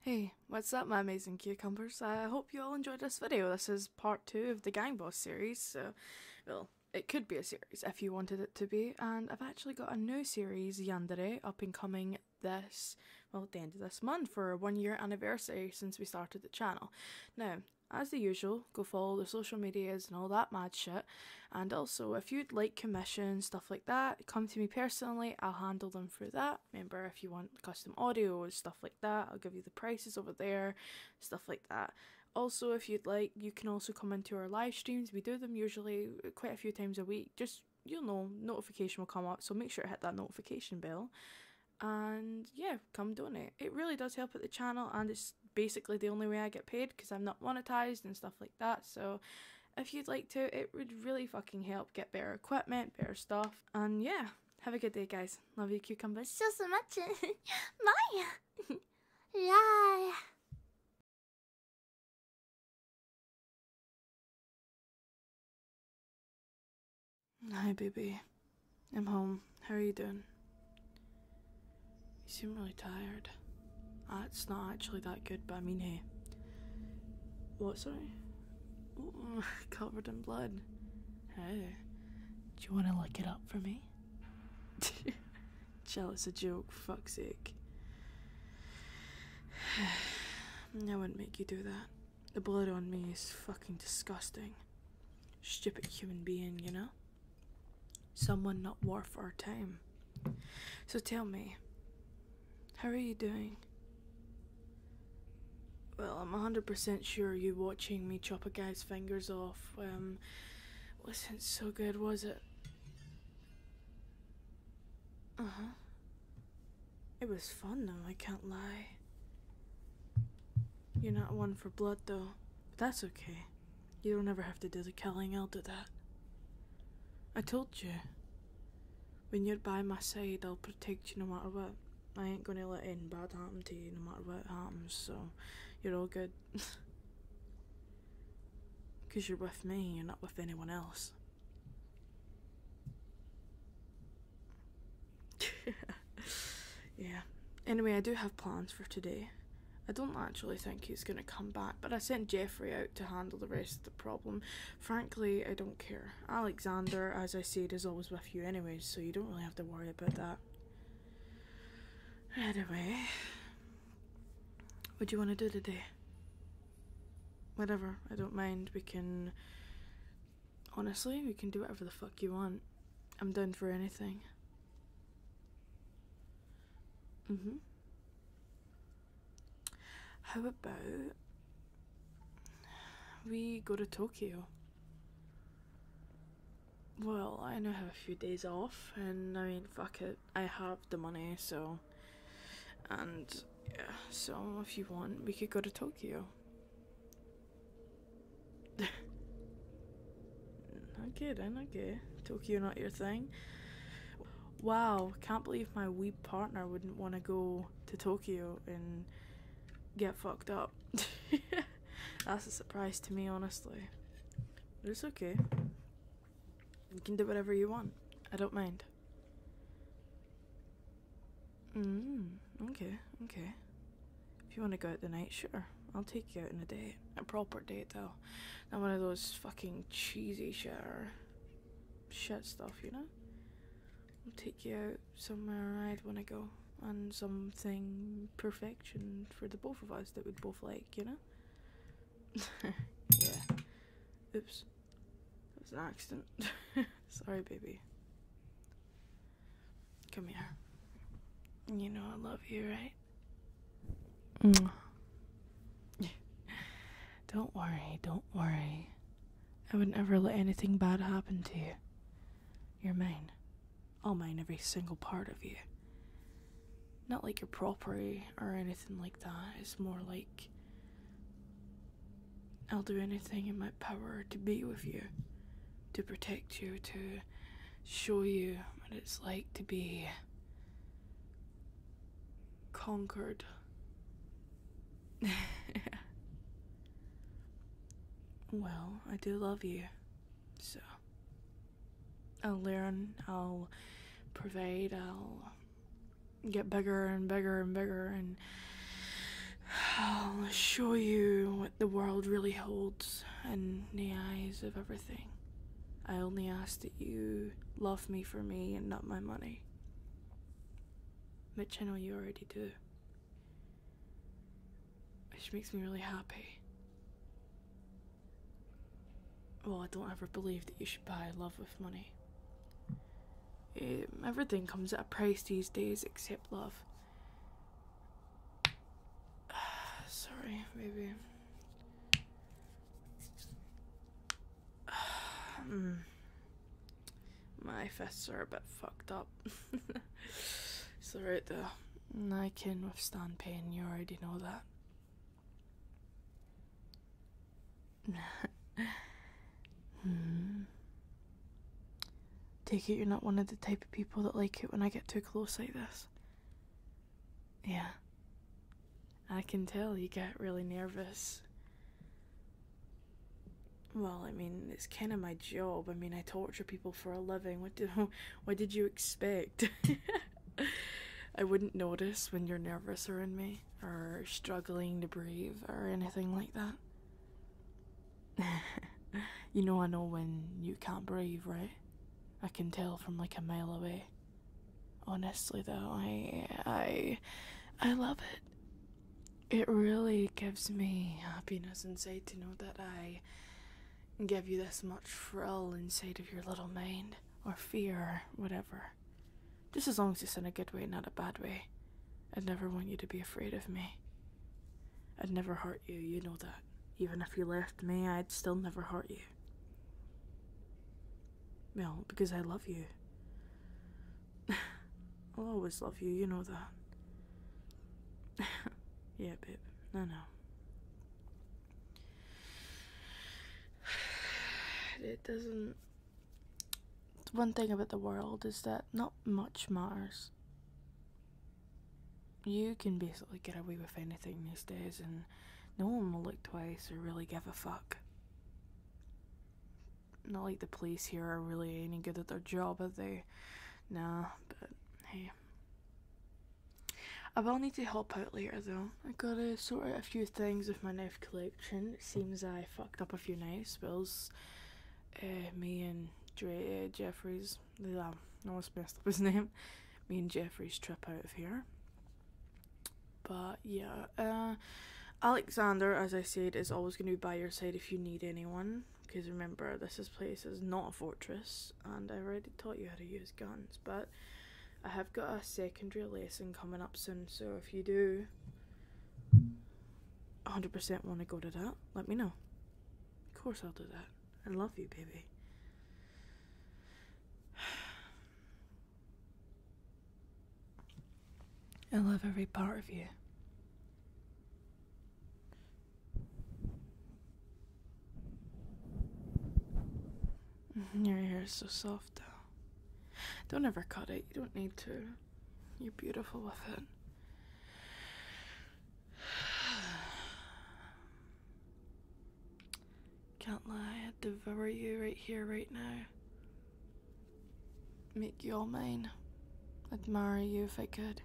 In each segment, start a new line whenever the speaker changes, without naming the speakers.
Hey, what's up my amazing cucumbers? I hope you all enjoyed this video. This is part two of the Gang Boss series, so, well, it could be a series if you wanted it to be, and I've actually got a new series, Yandere, up and coming this, well, at the end of this month for a one year anniversary since we started the channel. Now, as the usual, go follow the social medias and all that mad shit, and also if you'd like commission, stuff like that, come to me personally, I'll handle them through that. Remember, if you want custom audio and stuff like that, I'll give you the prices over there, stuff like that. Also, if you'd like, you can also come into our live streams. We do them usually quite a few times a week. Just, you'll know, notification will come up, so make sure to hit that notification bell. And yeah, come donate. It really does help with the channel, and it's basically the only way I get paid because I'm not monetized and stuff like that. So if you'd like to, it would really fucking help get better equipment, better stuff. And yeah, have a good day, guys. Love you, cucumbers. So, so much. Bye. Bye. Hi, baby. I'm home. How are you doing? You seem really tired. That's ah, not actually that good, but I mean, hey. What, sorry? Oh, covered in blood. Hey, do you want to look it up for me? Jealous it's joke, Fuck sake. I wouldn't make you do that. The blood on me is fucking disgusting. Stupid human being, you know? Someone not worth our time. So tell me, how are you doing? Well, I'm 100% sure you are watching me chop a guy's fingers off um, wasn't so good, was it? Uh huh. It was fun though, I can't lie. You're not one for blood though, but that's okay. You don't ever have to do the killing, I'll do that. I told you. When you're by my side, I'll protect you no matter what. I ain't gonna let anything bad happen to you no matter what happens, so you're all good. Because you're with me, you're not with anyone else. yeah. Anyway, I do have plans for today. I don't actually think he's going to come back, but I sent Jeffrey out to handle the rest of the problem. Frankly, I don't care. Alexander, as I said, is always with you anyway, so you don't really have to worry about that. Anyway, what do you want to do today? Whatever, I don't mind. We can. Honestly, we can do whatever the fuck you want. I'm down for anything. Mm hmm. How about we go to Tokyo? Well, I now have a few days off, and I mean, fuck it, I have the money, so. And yeah, so if you want, we could go to Tokyo. Okay then, okay. Tokyo not your thing. Wow, can't believe my wee partner wouldn't want to go to Tokyo and get fucked up. That's a surprise to me, honestly. But it's okay. You can do whatever you want. I don't mind. Mm, okay, okay. If you want to go out the night, sure. I'll take you out on a date. A proper date, though not one of those fucking cheesy shitter shit stuff, you know? I'll take you out somewhere I'd want to go and something perfection for the both of us that we'd both like, you know? yeah. Oops. It was an accident. Sorry, baby. Come here. You know I love you, right? Don't worry, don't worry. I would never let anything bad happen to you. You're mine. All mine, every single part of you. Not like your property or anything like that. It's more like I'll do anything in my power to be with you, to protect you, to show you what it's like to be conquered. well, I do love you, so I'll learn, I'll pervade, I'll get bigger and bigger and bigger, and I'll show you what the world really holds in the eyes of everything. I only ask that you love me for me and not my money. Which I know you already do. Which makes me really happy. Well, I don't ever believe that you should buy love with money. Um, everything comes at a price these days except love. Sorry, maybe. Hmm. My fists are a bit fucked up. it's alright though. I can withstand pain, you already know that. Hmm. Take it you're not one of the type of people that like it when I get too close like this. Yeah. I can tell you got really nervous. Well, I mean, it's kind of my job. I mean, I torture people for a living. What do, what did you expect? I wouldn't notice when you're nervous around me, or struggling to breathe, or anything like that. you know, I know when you can't breathe, right? I can tell from like a mile away. Honestly though, I I I love it. It really gives me happiness inside to know that I give you this much thrill inside of your little mind or fear or whatever. Just as long as it's in a good way, not a bad way. I'd never want you to be afraid of me. I'd never hurt you, you know that. Even if you left me, I'd still never hurt you. Well, because I love you. I'll always love you, you know that. yeah, babe. No, no. It doesn't. One thing about the world is that not much matters you can basically get away with anything these days, and no one will look twice or really give a fuck. Not like the police here are really any good at their job, are they? Nah, but hey. I will need to help out later though. I gotta sort out a few things with my knife collection. seems I fucked up a few knife spells. Uh, me and Dre uh, Jeffries his. I almost um, messed up his name. Me and Jeffrey's trip out of here. But yeah, uh, Alexander, as I said, is always going to be by your side if you need anyone. Because remember, this place is not a fortress, and I already taught you how to use guns. But I have got a secondary lesson coming up soon, so if you do 100% want to go to that, let me know. Of course, I'll do that. I love you, baby. I love every part of you. Mm-hmm. Your hair is so soft, though. Don't ever cut it. You don't need to. You're beautiful with it. Can't lie, I'd devour you right here, right now. Make you all mine. Admire you if I could.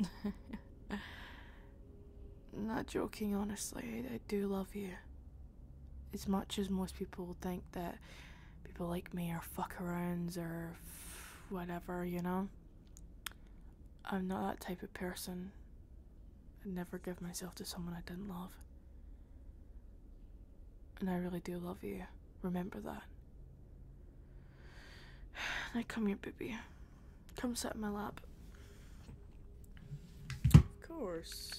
Not joking, honestly, I do love you. As much as most people think that people like me are fuckarounds or whatever, you know? I'm not that type of person. I'd never give myself to someone I didn't love. And I really do love you. Remember that. Now come here, baby. Come sit in my lap. Of course.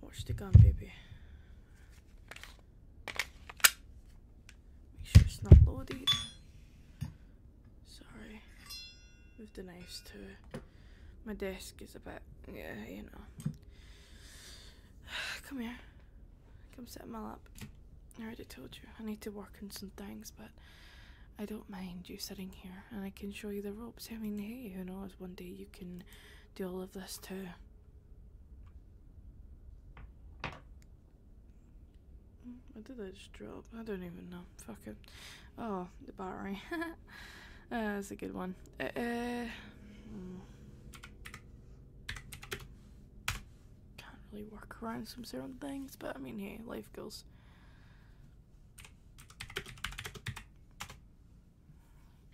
Watch the gun, baby. Make sure it's not loaded. Sorry. Move the knives too. My desk is a bit, yeah, you know. Come here. Come sit in my lap. I already told you, I need to work on some things, but I don't mind you sitting here and I can show you the ropes. I mean, hey, who knows, one day you can do all of this too. What did I just drop? I don't even know. Fuck it. Oh, the battery. Uh, that's a good one. Uh, uh, hmm. can't really work around some certain things, but I mean, hey, life goes.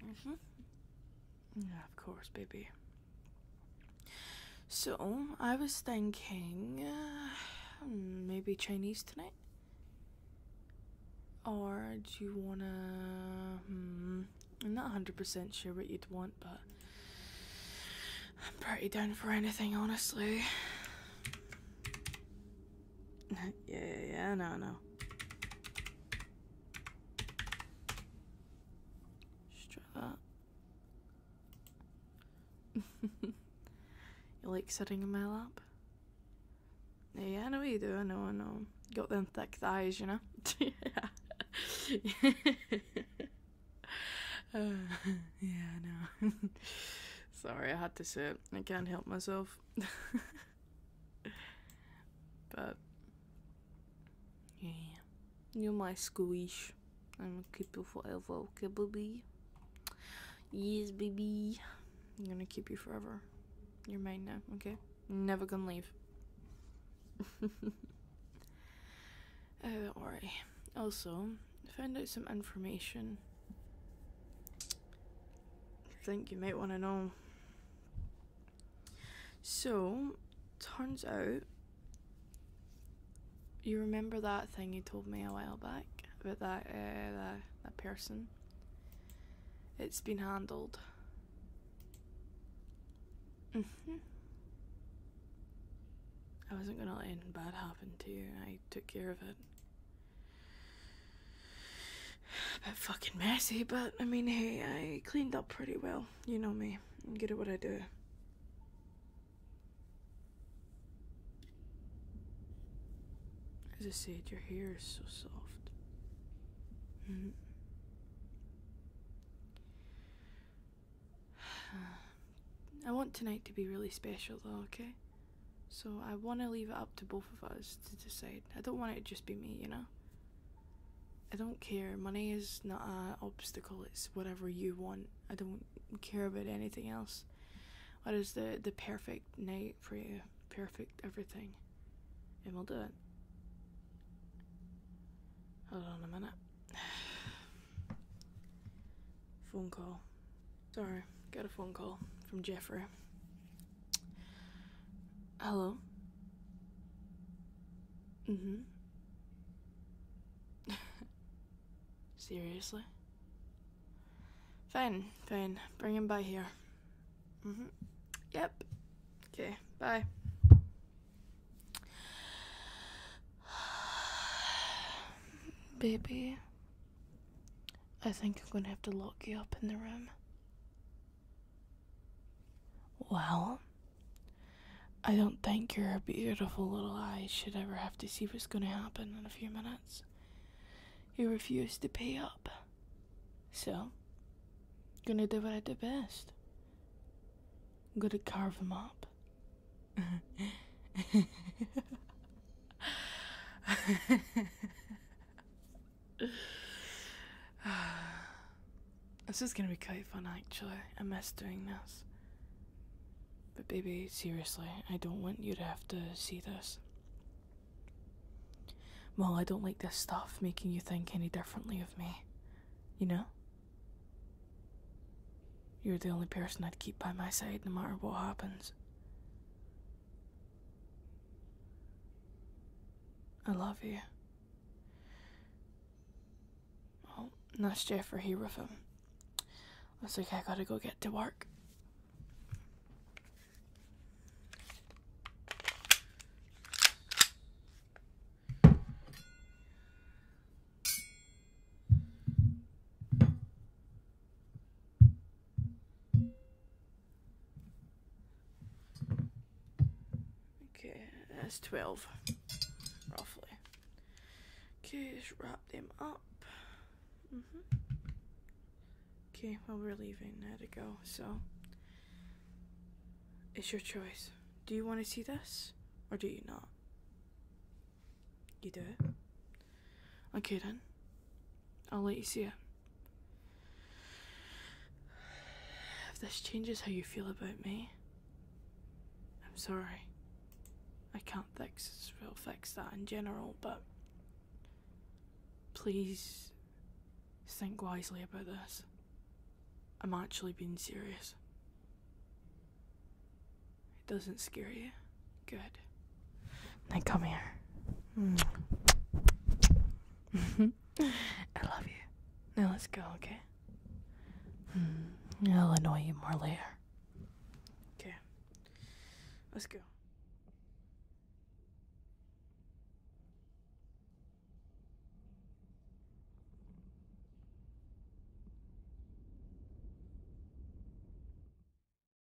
Mm -hmm. Yeah, of course, baby. So, I was thinking uh, maybe Chinese tonight? Or do you wanna. Hmm, I'm not 100% sure what you'd want, but I'm pretty down for anything, honestly. yeah, yeah, no, no. Strap. you like sitting in my lap? Yeah, I know you do. I know, I know. Got them thick thighs, you know? yeah. yeah, I know. Sorry, I had to sit. I can't help myself. but yeah. You're my squish. I'm gonna keep you forever, okay, baby? Yes, baby. I'm gonna keep you forever. You're mine now, okay? Never gonna leave. uh, Alright. Also, found out some information. I think you might want to know. So, turns out, you remember that thing you told me a while back about that uh, that, that person? It's been handled. Mm-hmm. I wasn't gonna let anything bad happen to you. I took care of it a bit fucking messy, but I mean, hey, I cleaned up pretty well. You know me. I'm good at what I do. As I said, your hair is so soft. -hmm. I want tonight to be really special, though, okay? So I want to leave it up to both of us to decide. I don't want it to just be me, you know? I don't care. Money is not an obstacle. It's whatever you want. I don't care about anything else. What is the the perfect night for you? Perfect everything, and we'll do it. Hold on a minute. phone call. Sorry, got a phone call from Jeffrey. Hello? Mm hmm. Seriously? Fine, fine. Bring him by here. Mm hmm. Yep. Okay, bye. Baby, I think I'm gonna have to lock you up in the room. Well, I don't think your beautiful little eyes should ever have to see what's going to happen in a few minutes. You refuse to pay up. So, gonna do what I do best. I'm gonna carve him up. this is gonna be quite fun, actually. I miss doing this. But, baby, seriously, I don't want you to have to see this. Well, I don't like this stuff making you think any differently of me. You know? You're the only person I'd keep by my side no matter what happens. I love you. Oh, nice chair for here with him. was like I gotta go get to work. Okay, that's 12, roughly. Okay, just wrap them up. Mm-hmm. Okay, well, we're leaving now to go, so it's your choice. Do you want to see this or do you not? You do? Okay then. I'll let you see it. If this changes how you feel about me, I'm sorry. I can't fix, well, fix that in general, but please think wisely about this. I'm actually being serious. It doesn't scare you. Good. Now come here. I love you. Now let's go, okay? Hmm. I'll annoy you more later. Okay. Let's go.